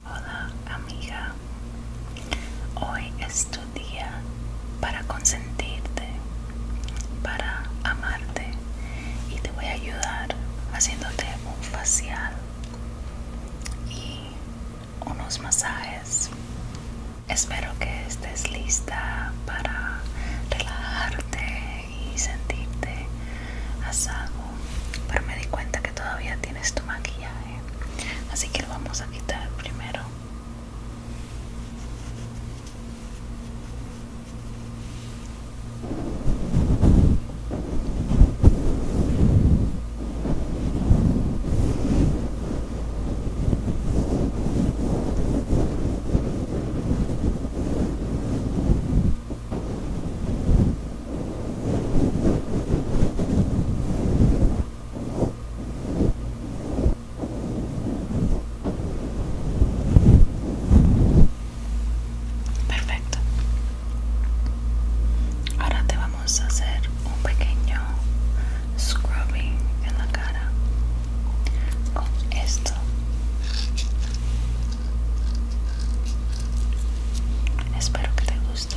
Hola amiga, hoy es tu día para consentirte, para amarte y te voy a ayudar haciéndote un facial y unos masajes. Espero que estés lista para relajarte y sentirte a salvo, pero me di cuenta todavía tienes tu maquillaje así que lo vamos a quitar primero Perfecto. Ahora te vamos a hacer un pequeño scrubbing en la cara con esto Espero que te guste.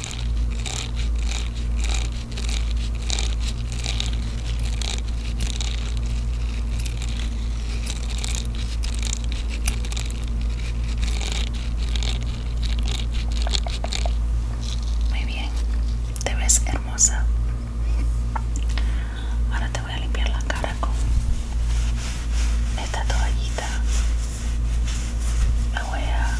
Muy bien, te ves hermosa. Ahora te voy a limpiar la cara con esta toallita. La voy a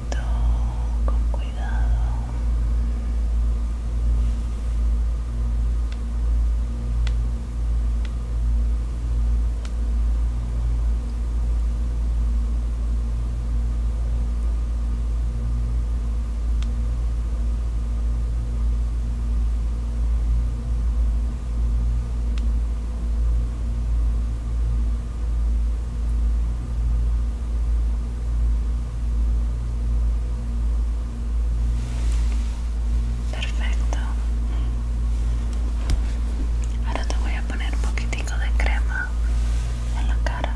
con cuidado Perfecto. Ahora te voy a poner un poquitico de crema en la cara.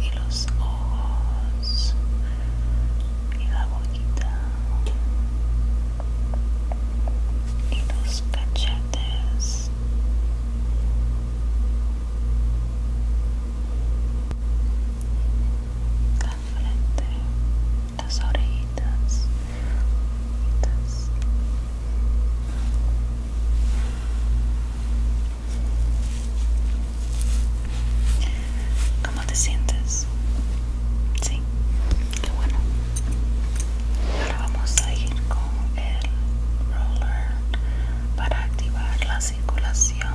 y los ojos y la boquita y los cachetes la frente las orejitas ¿Cómo te sientes? Sí, qué bueno. Ahora vamos a ir con el roller para activar la circulación.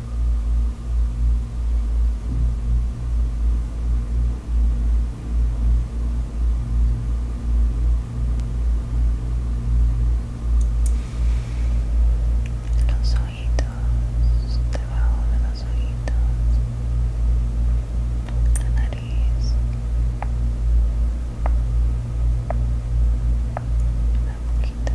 los ojitos, debajo de los ojitos, la nariz, la boquita.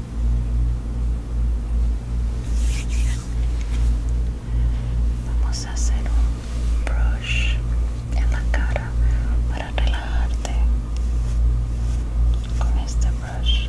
Vamos a hacer un brush en la cara para relajarte con este brush.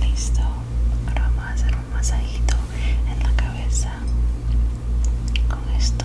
Listo, ahora vamos a hacer un masajito en la cabeza con esto.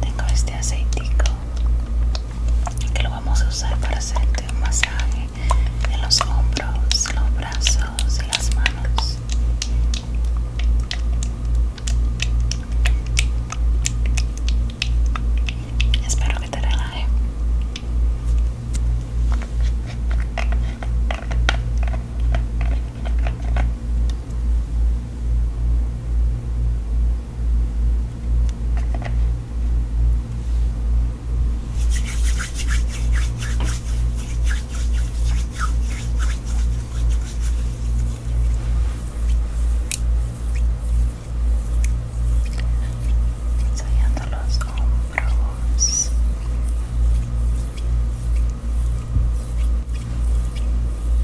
tengo este aceitico que lo vamos a usar para hacerte un masaje en los hombros, los brazos y las manos espero que te relaje Ensayando los hombros.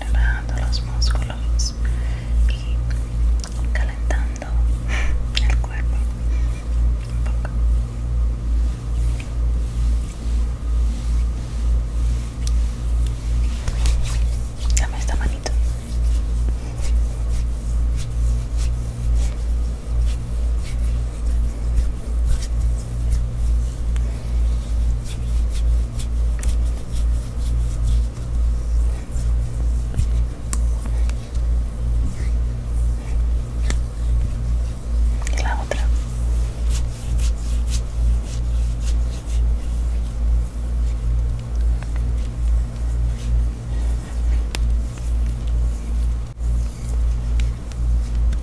relajando los músculos y calentando el cuerpo un poco. Dame esta manito. La otra.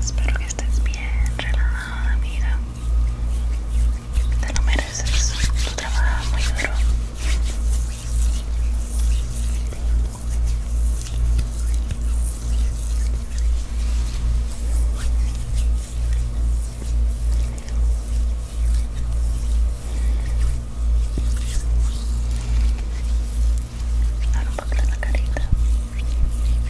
Espero que estés bien, relajada, amiga. Te lo mereces. tu trabajo muy duro. un la carita.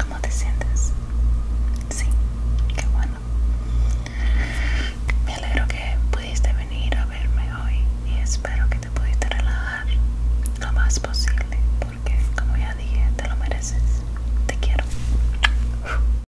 ¿Cómo te sientes? Sí, qué bueno. Me alegro que pudiste venir a verme hoy y espero que te pudiste relajar lo más posible porque como ya dije, te lo mereces. Te quiero.